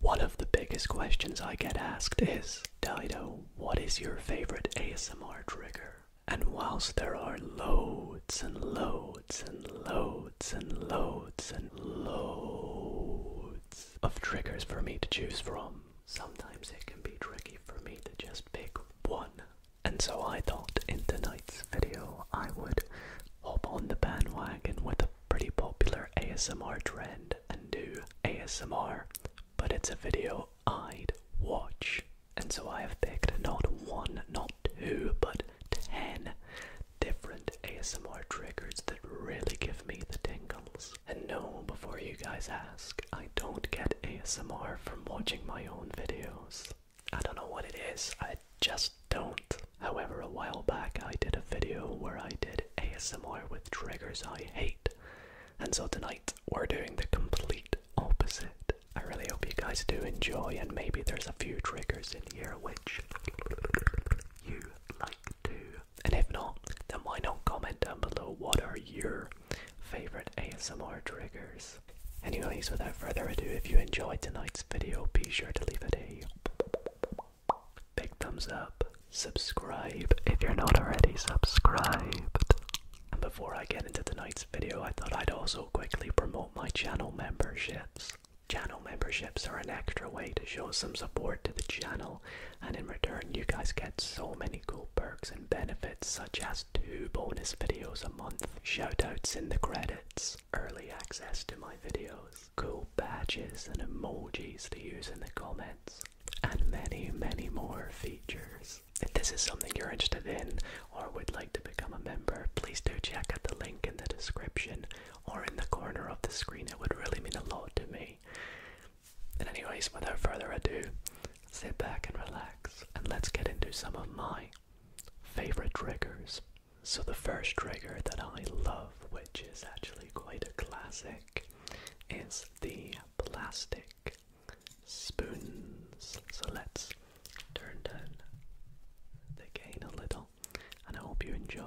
One of the biggest questions I get asked is Dido, what is your favorite ASMR trigger? And whilst there are loads and loads and loads and loads and loads of triggers for me to choose from, sometimes it can be tricky for me to just pick one. And so I thought in tonight's video I would hop on the bandwagon with a pretty popular ASMR trend and do ASMR, but it's a video I'd watch. And so I have picked not one, not two, but ten different ASMR triggers that really give me the tingles. And no, before you guys ask, I don't get ASMR from watching my own videos. I don't know what it is, I just don't. However, a while back I did a video where I did ASMR with triggers I hate, and so tonight we're doing the complete opposite. I really hope you guys do enjoy, and maybe there's a few triggers in here which you like too. And if not, then why not comment down below what are your favorite ASMR triggers? Anyways, without further ado, if you enjoyed tonight's video, be sure to leave it a Big thumbs up. Subscribe if you're not already subscribed. And before I get into tonight's video, I thought I'd also quickly promote my channel memberships. Channel memberships are an extra way to show some support to the channel, and in return, you guys get so many cool perks and benefits, such as two bonus videos a month, shoutouts in the credits, early access to my videos, cool badges and emojis to use in the comments, and many, many more features. If this is something you're interested in or would like to become a member, please do check out the link in the description or in the corner of the screen. It would really mean a lot to me. And, anyways, without further ado, sit back and relax, and let's get into some of my favorite triggers so, the first trigger that I love, which is actually quite a classic, is the plastic spoons. So, let's turn down the gain a little, and I hope you enjoy.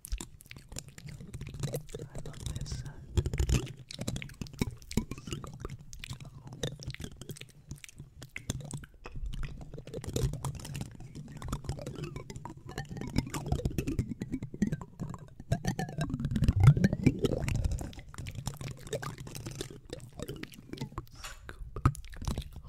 I love this. Scoop.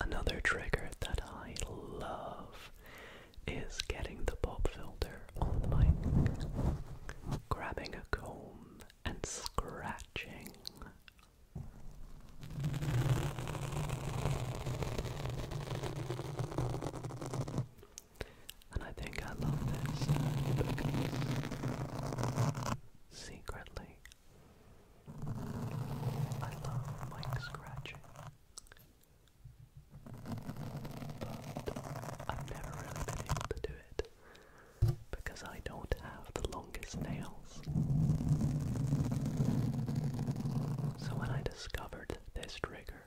Another trigger that I love is getting the pop filter on the mic, grabbing a comb and scratching. And I think I love this uh, because secretly I love like scratching. But I've never really been able to do it because I don't have the longest nails. So when I discovered this trigger,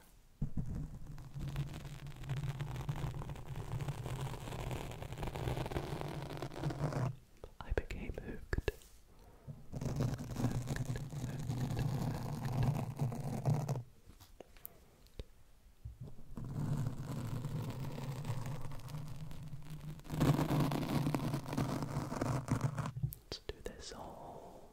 I became hooked. Let's do this all.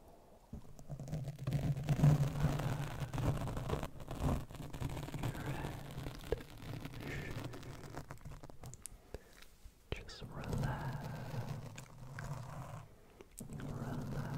Just relax. Relax.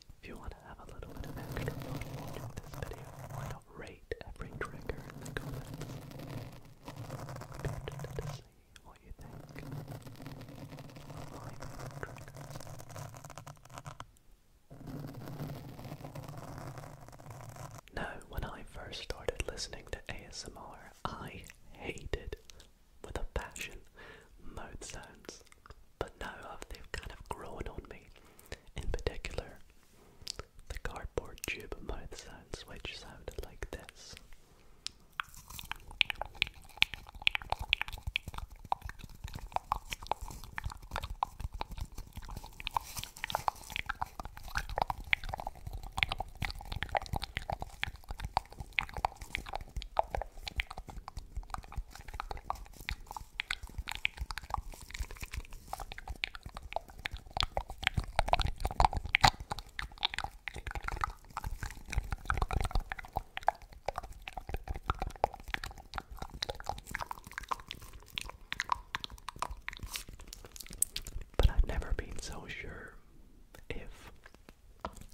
If you want to have a little bit of extra fun watching this video, why not rate every trigger in the comments? I'd be interested to what you think of my favorite Now, when I first started listening to ASMR, I hated, with a passion, mouth sounds but now uh, they've kind of grown on me. In particular, the cardboard tube mouth sounds, which sounded like this. But I've never been so sure if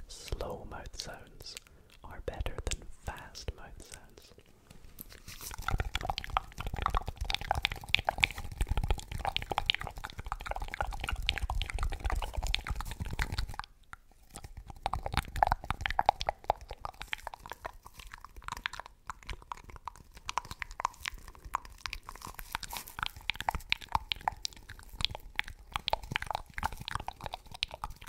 slow mouth sounds are better than fast mouth sounds.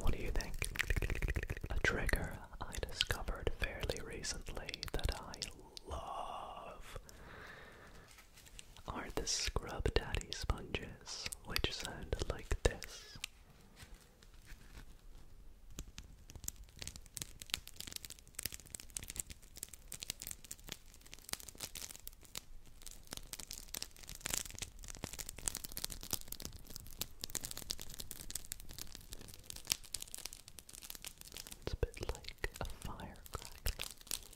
What do you think? A trigger I discovered fairly recently that I love are the scrub daddy sponges, which sound like this. It's a bit like a fire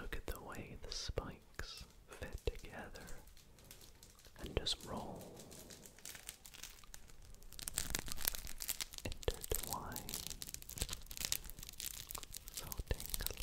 Look at the way the spikes fit together and just roll. Intertwined. So tingly.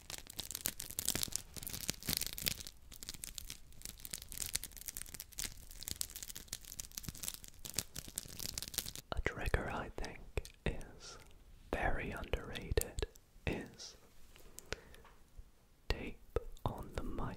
A trigger I think is very underrated is tape on the mic.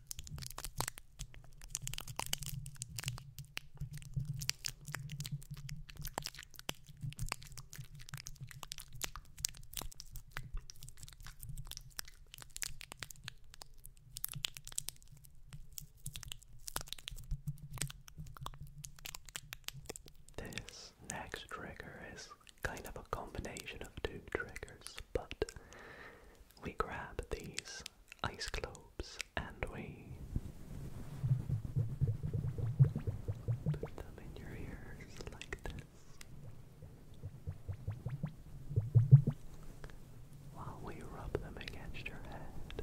This next trigger is kind of a combination of two triggers, but we grab these ice globes and we put them in your ears like this while we rub them against your head.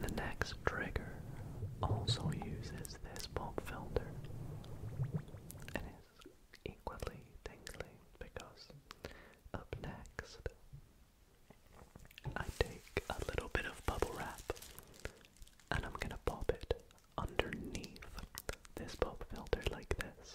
The next trigger also uses this pop filter and is equally tingly because of next I take a little bit of bubble wrap and I'm gonna pop it underneath this pop filter like this.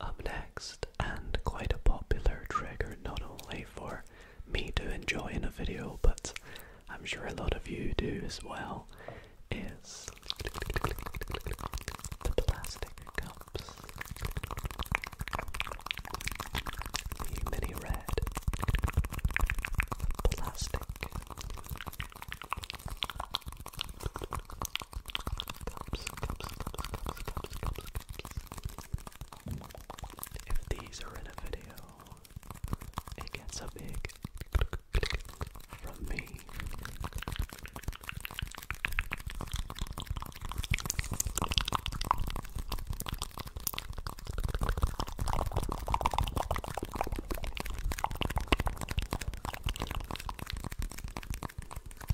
Up next, and quite a popular trigger not only for me to enjoy in a video, but I'm sure a lot of you do as well, is the plastic cups. The mini red plastic if these are in a video, it gets a big from me.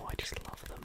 Oh, I just love them.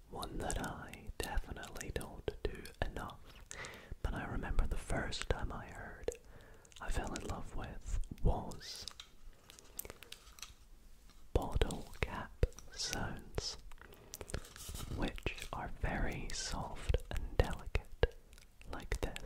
One that I definitely don't do enough. But I remember the first time I heard I fell in love with was bottle cap sounds, which are very soft and delicate, like this.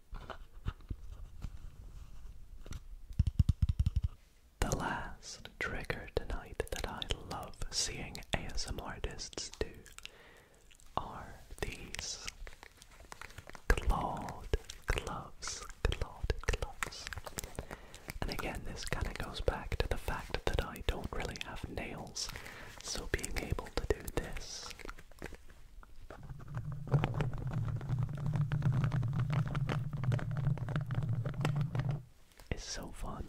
The last trigger tonight that I love seeing ASM artists do are these clawed gloves. Clawed gloves. And again, this kind of goes back to the fact that I don't really have nails, so being able to do this it's so fun.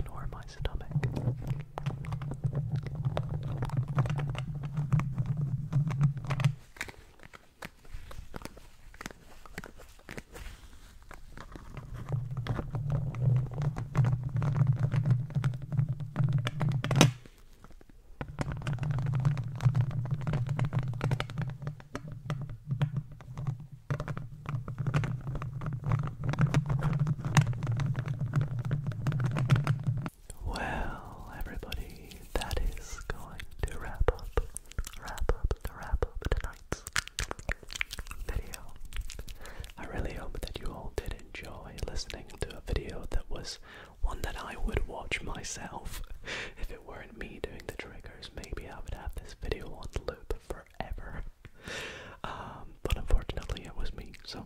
Ignore my stomach. Well, everybody, that is going to wrap up, wrap up, the wrap up tonight's video. I really hope that you all did enjoy listening to a video that was one that I would watch myself. If it weren't me doing the triggers, maybe I would have this video on loop forever. Um, but unfortunately, it was me, so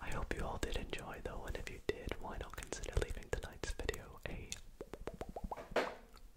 I hope you all did enjoy though, and if you did, why not consider leaving tonight's video a